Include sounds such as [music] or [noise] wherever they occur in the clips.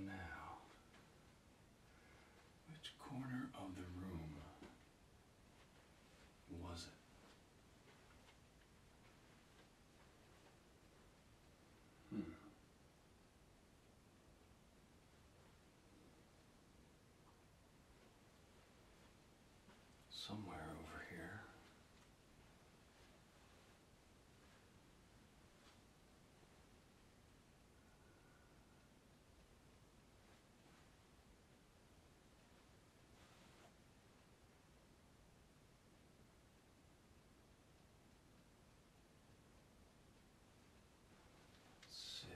Now, which corner of the room was it? Hmm. Somewhere over here. Let's see.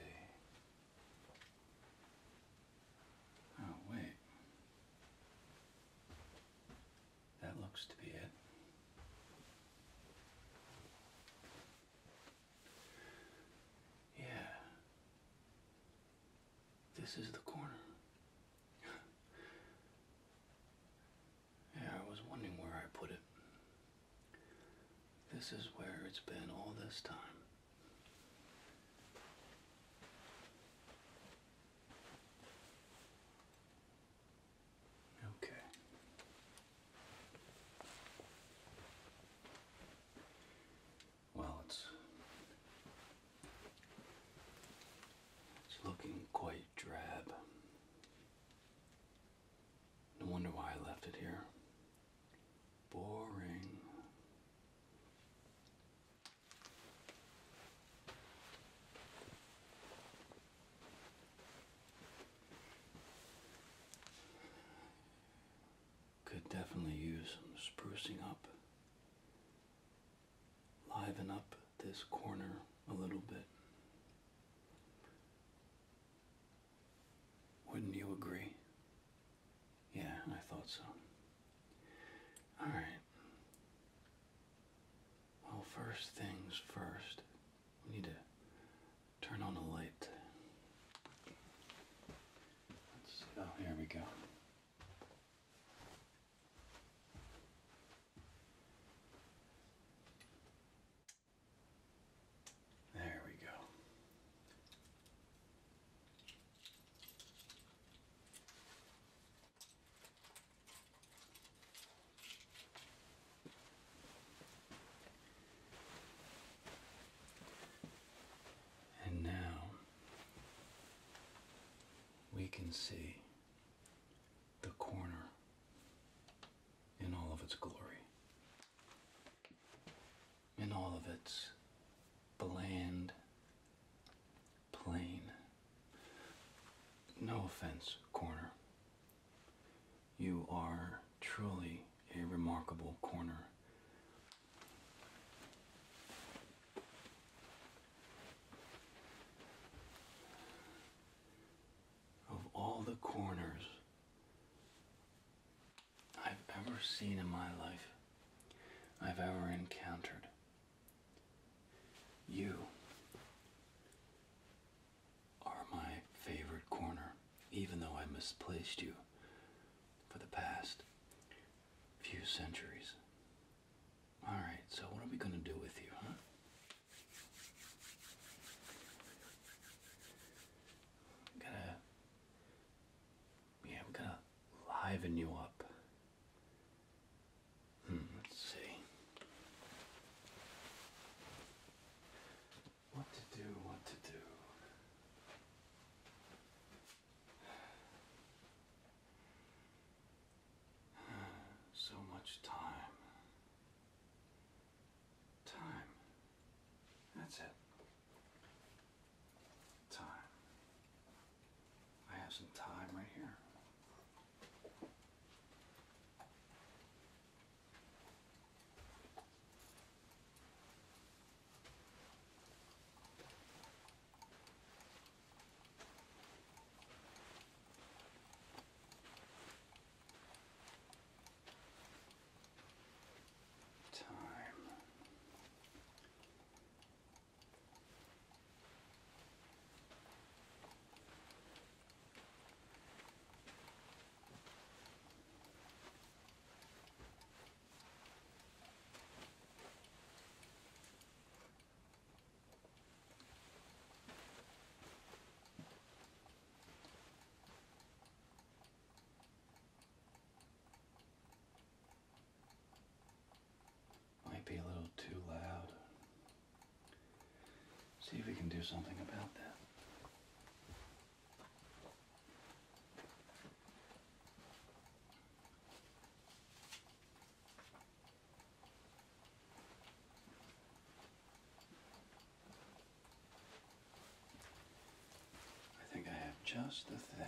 Oh, wait. That looks to be it. Yeah. This is the corner. yeah, I was wondering where I put it. This is where it's been all this time. Okay. Well, it's it's looking quite drab. No wonder why I left it here. Boring. Could definitely use some sprucing up, liven up this corner a little bit. Wouldn't you agree? Yeah, I thought so. Alright. Well, first things first, we need to turn on the light. oh, here we go. There we go. And now we can see the corner in all of its glory, in all of its bland, plain. No offense, corner. You are truly a remarkable corner of all the corners I've ever seen in my life, I've ever encountered. You are my favorite corner, even though I misplaced you for the past few centuries. All right, so what are we going to do with you, huh? gonna, yeah, I'm gonna liven you up. Hmm, let's see. What to do, what to do. [sighs] So much time. Time. That's it. Time. I have some time right here. Time. Might be a little too loud. See if we can do something about that. I think I have just the thing.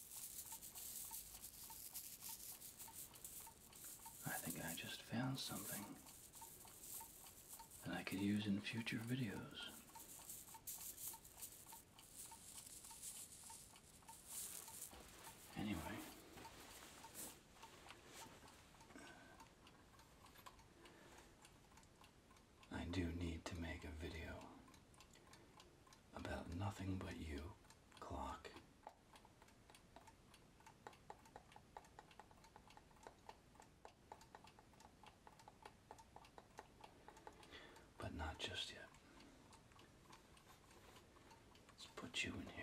I think I just found something that I could use in future videos. Anyway, I do need to make a video about nothing but you, clock. But not just yet. Let's put you in here.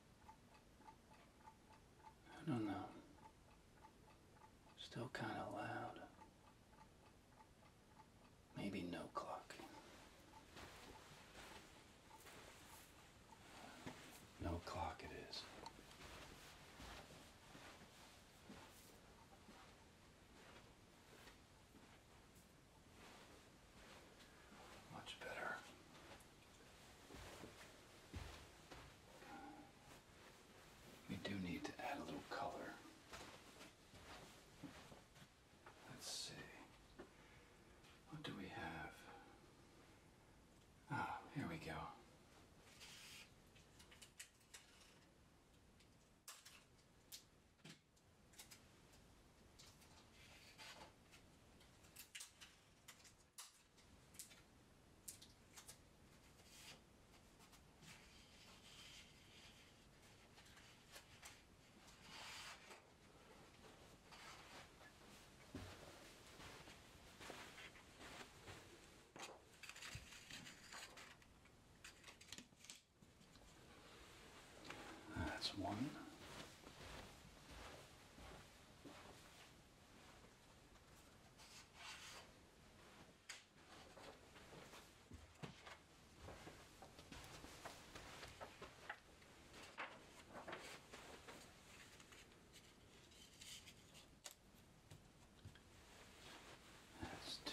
I don't know. Still kind of loud. Maybe no clock. No clock it is. Much better. We do need to add a little color. Let's see. What do we have? Ah, here we go. That's one. That's two.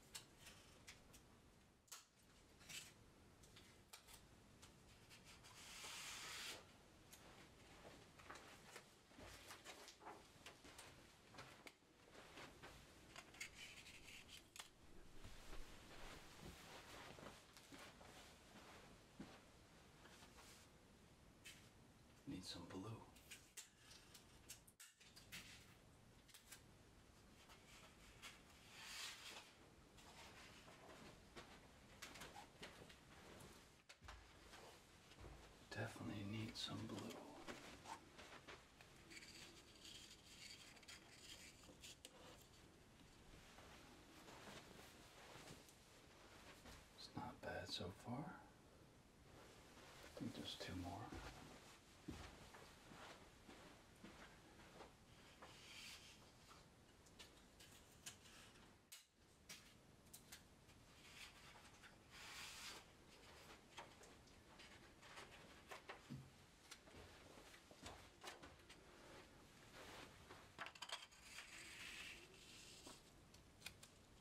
Need some blue. Definitely need some blue. It's not bad so far. Just two more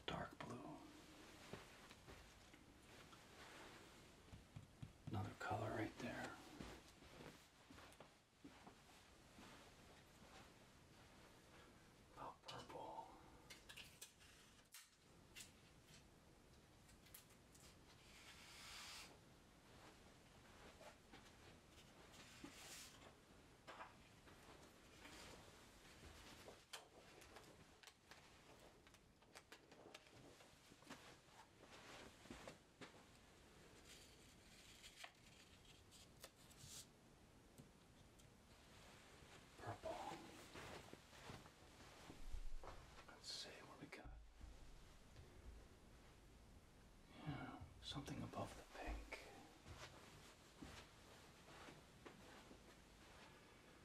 dark blue. Another color right there. About purple. Purple. Let's see what we got. Yeah, something above the pink.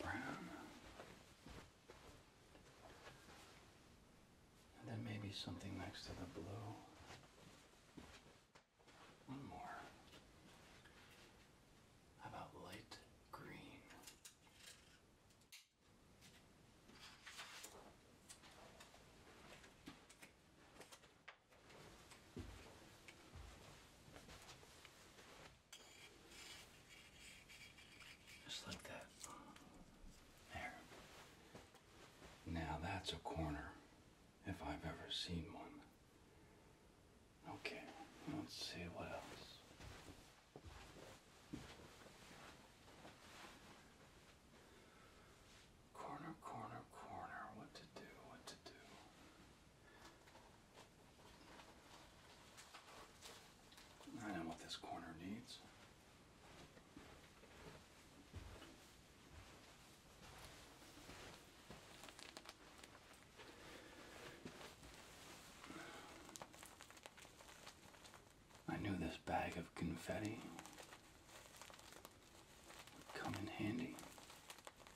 brown. And then maybe something next to the blue. One more. How about light green? Just like that. There. Now that's a corner, if I've ever seen one. Okay, let's see what else. Corner, corner, corner. What to do, what to do. I know what this corner needs. I knew this bag of confetti would come in handy.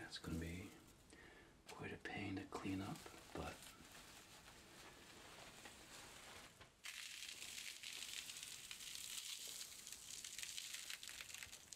That's going to be quite a pain to clean up, but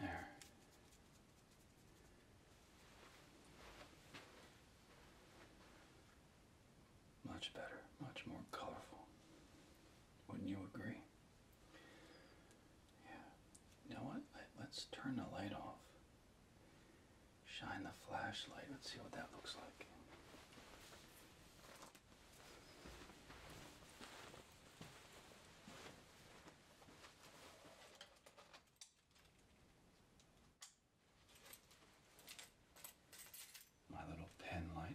There. Much better, much more colorful. Wouldn't you agree? Yeah. You know what? Let, us turn the light off. Shine the flashlight. Let's see what that looks like. My little pen light.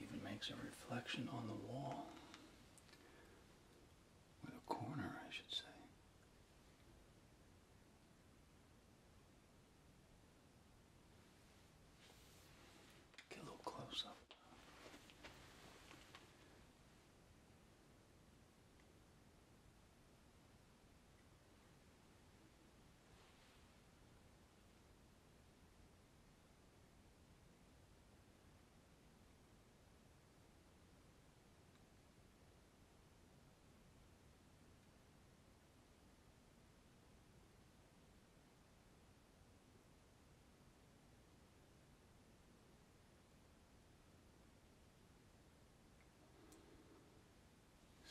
Even makes a reflection on the wall with a corner, I should say. Get a little close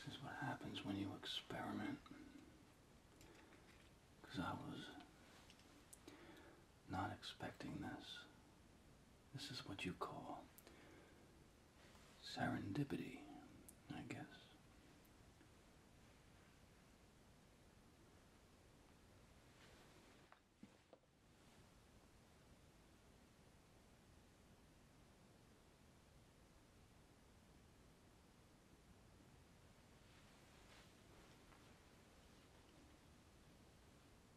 this is what happens when you experiment. Because I was not expecting this. This is what you call serendipity, I guess.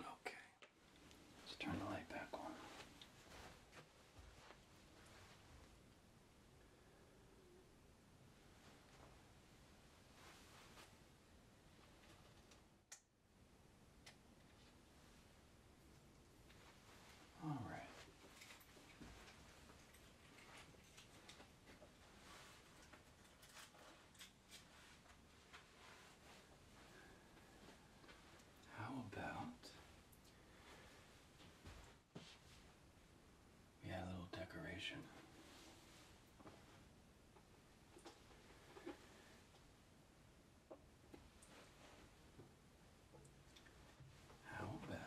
Okay, let's turn the light back on. All right. How about we had a little decoration. How about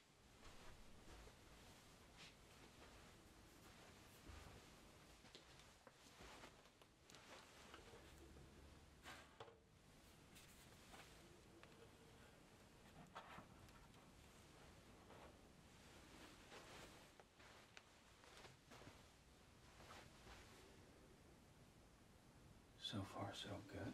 So far, so good.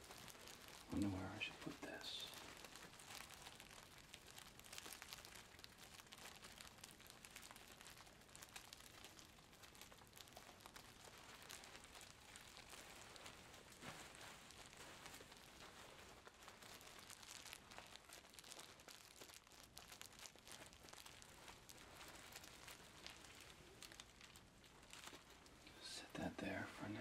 I wonder where I should put this. Just set that there for now.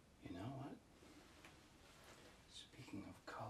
You know what? Speaking of color,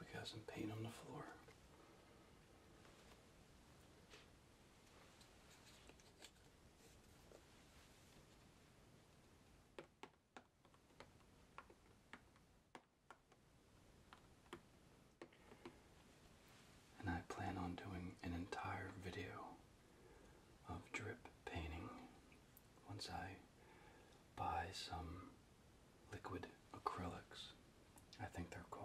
we got some paint on the floor. And I plan on doing an entire video of drip painting once I by some liquid acrylics. I think they're called.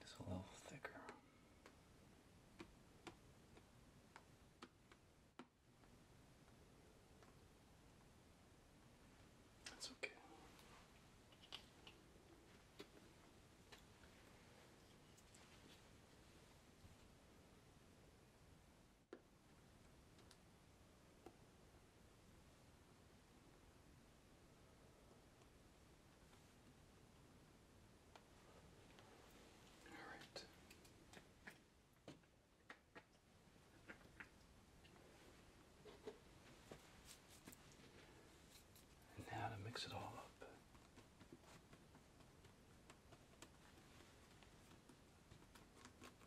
It's a little thicker. That's okay. All right. And now to mix it all up.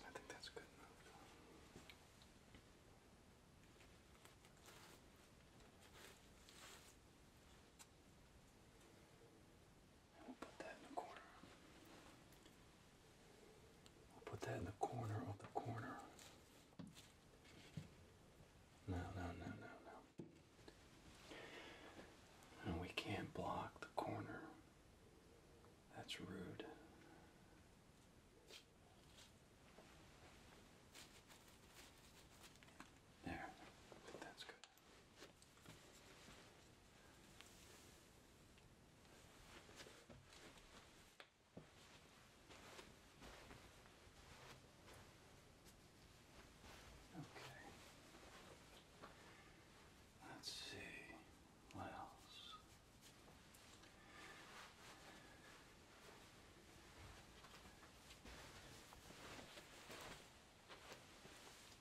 I think that's a good move. We'll put that in the corner. We'll put that in the corner of the corner. No, no, no, no, no. And we can't block the corner. That's rude. There. That's good. Okay. Let's see what else.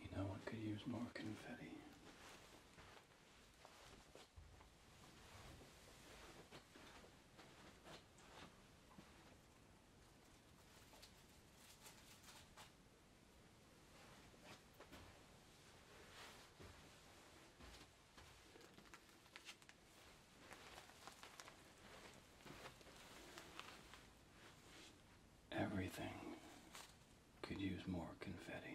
You know, I could use more confetti. Everything could use more confetti.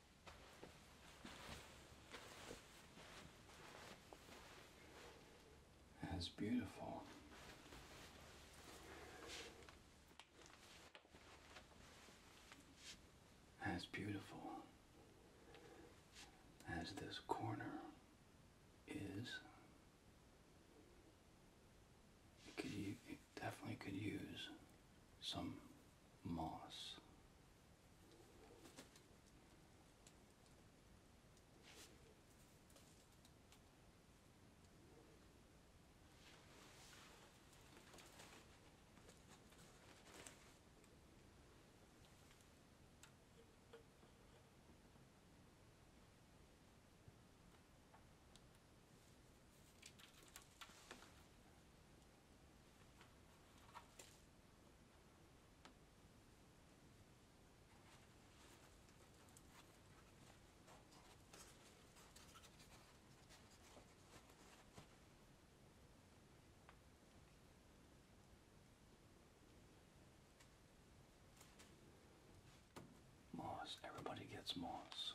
That's beautiful. As beautiful as this corner is, could, it definitely could use some Moss. Moss, everybody gets moss.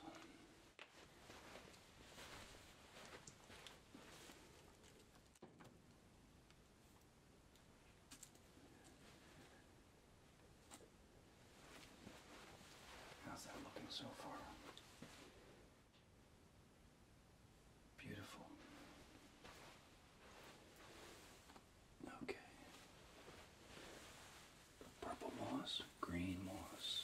How's that looking so far? Beautiful. Okay. Purple moss, green moss.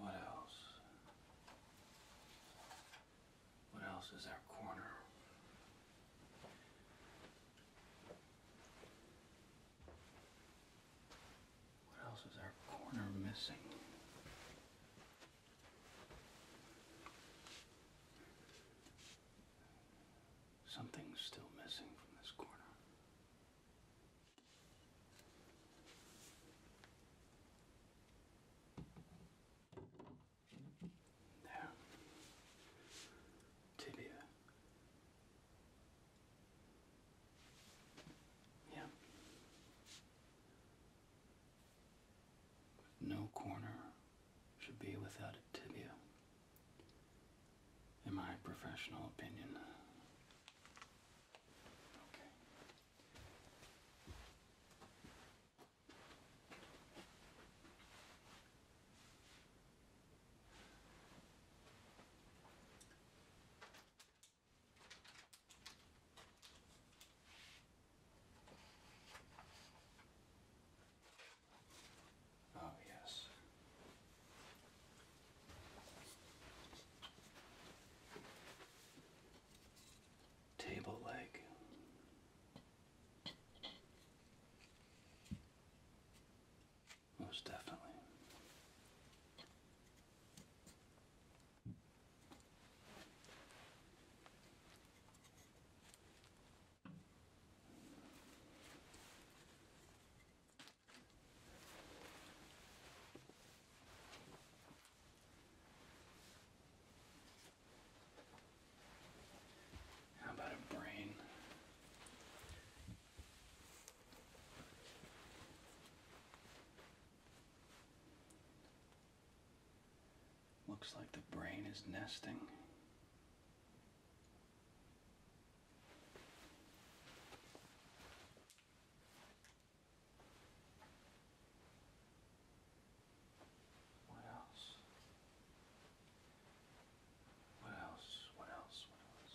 What else? What else is our corner? What else is our corner missing? Something's still missing from this corner. There. Tibia. Yeah. no corner should be without a tibia, in my professional opinion. Oh, yes. Table leg. Most definitely. How about a brain? Looks like the brain is nesting. What else? What else? What else? What else?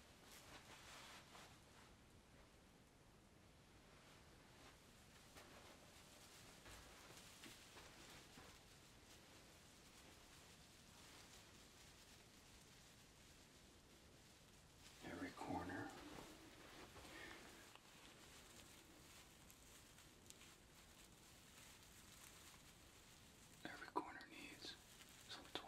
Every corner. Every corner needs some twine.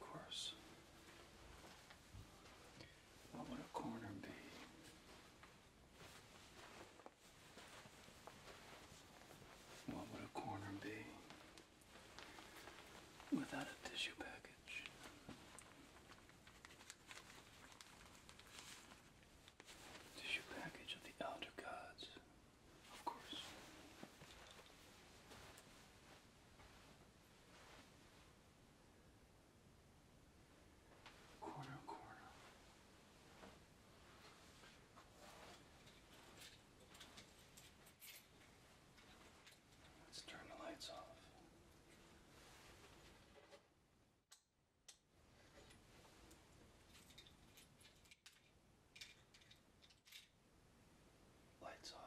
Of course. What would a corner be what would a corner be without a tissue package? Tissue package of the elder gods, of course. Corner, corner. Let's turn the lights off. Lights off.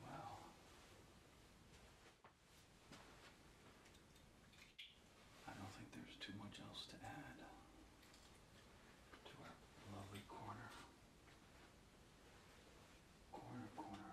Wow. I don't think there's too much else to add to our lovely corner. Corner, corner.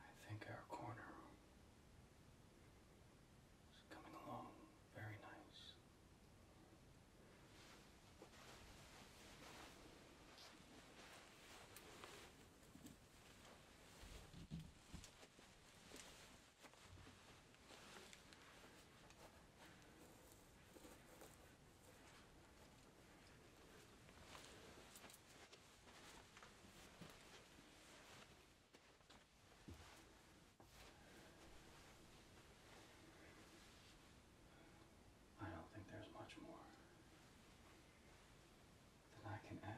I think our corner is coming along very nice. I don't think there's much more that I can add.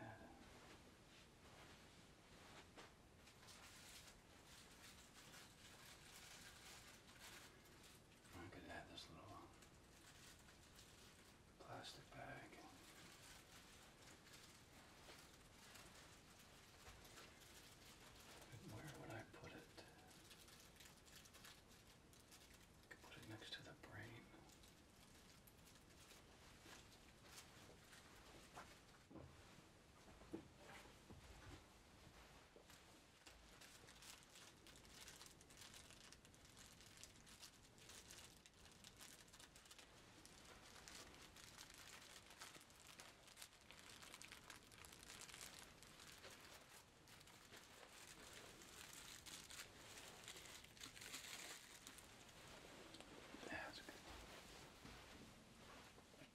I could add this little plastic bag. But where would I put it? I could put it next to the brain. That's a good one.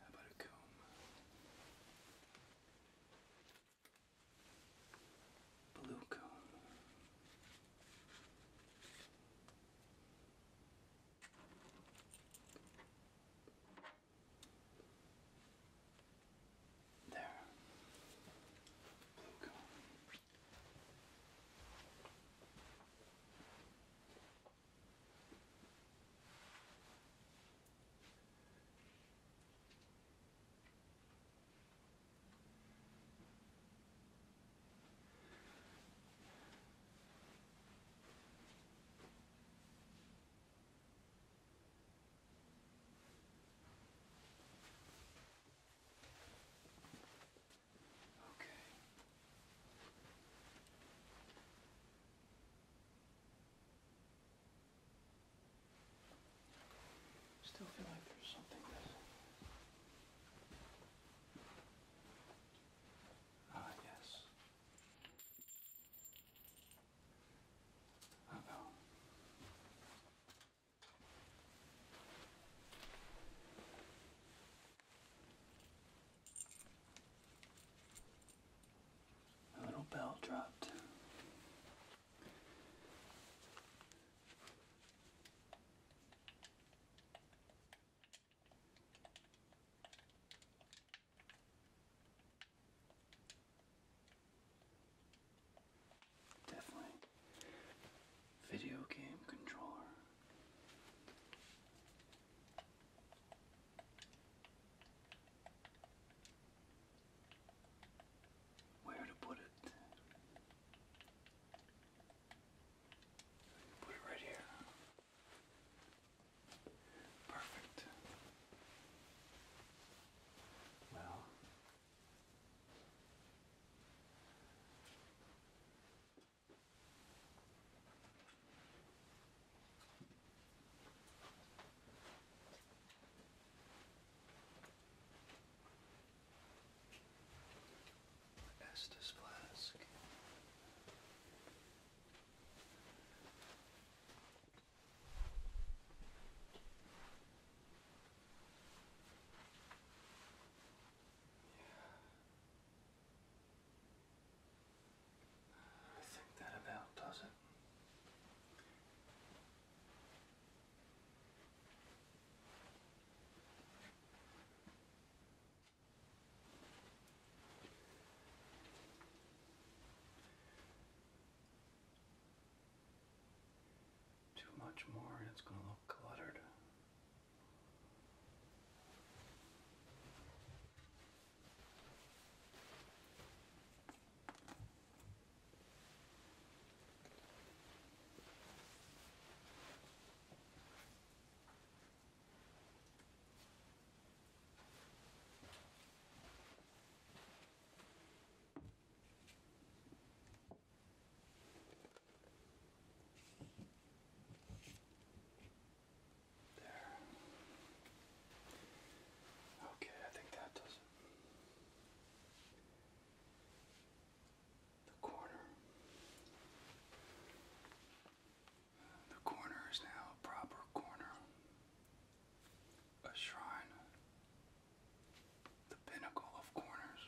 How about a comb? Blue comb. There. Blue Still feel like there's something missing. Ah, yes. Uh oh. A little bell dropped. Definitely. Video game controller. Where to put it? Put it right here. Perfect. Well, Estes flask. I think that about does it too much more and it's going to look cluttered. There. Okay, I think that does it. The corner. The corner is now a proper corner. A shrine the pinnacle of corners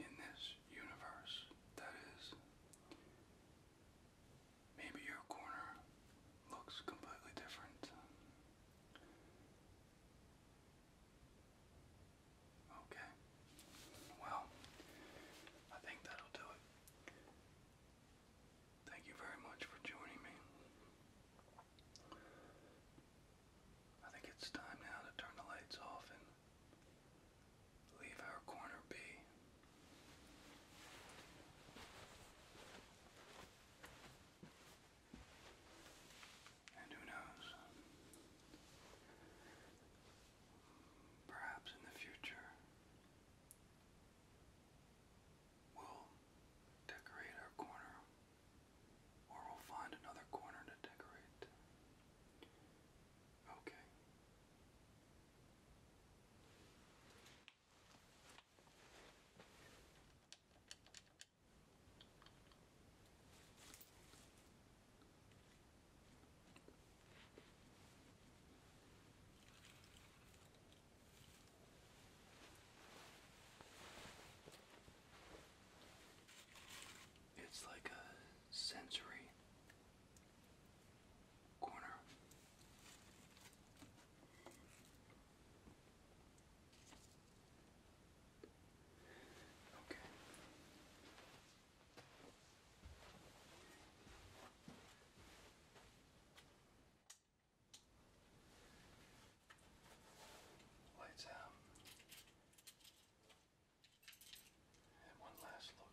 in this universe. That is, maybe your corner looks completely different. Okay. Well, I think that'll do it. Thank you very much for joining me. I think it's time now to turn the lights off and leave our corner be. And who knows? Perhaps in the future we'll decorate our corner or we'll find another corner to decorate. Okay. It's like a sensory corner. Okay. Lights out. Um, and one last look.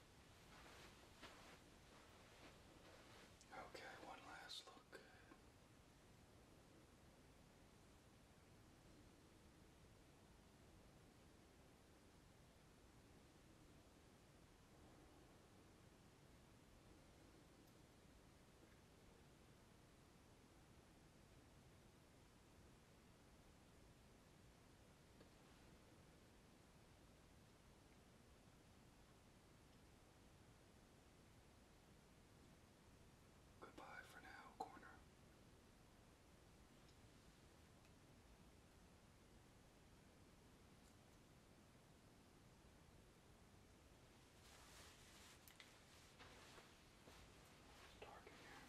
Okay, one last look. Goodbye for now, corner. It's dark in here.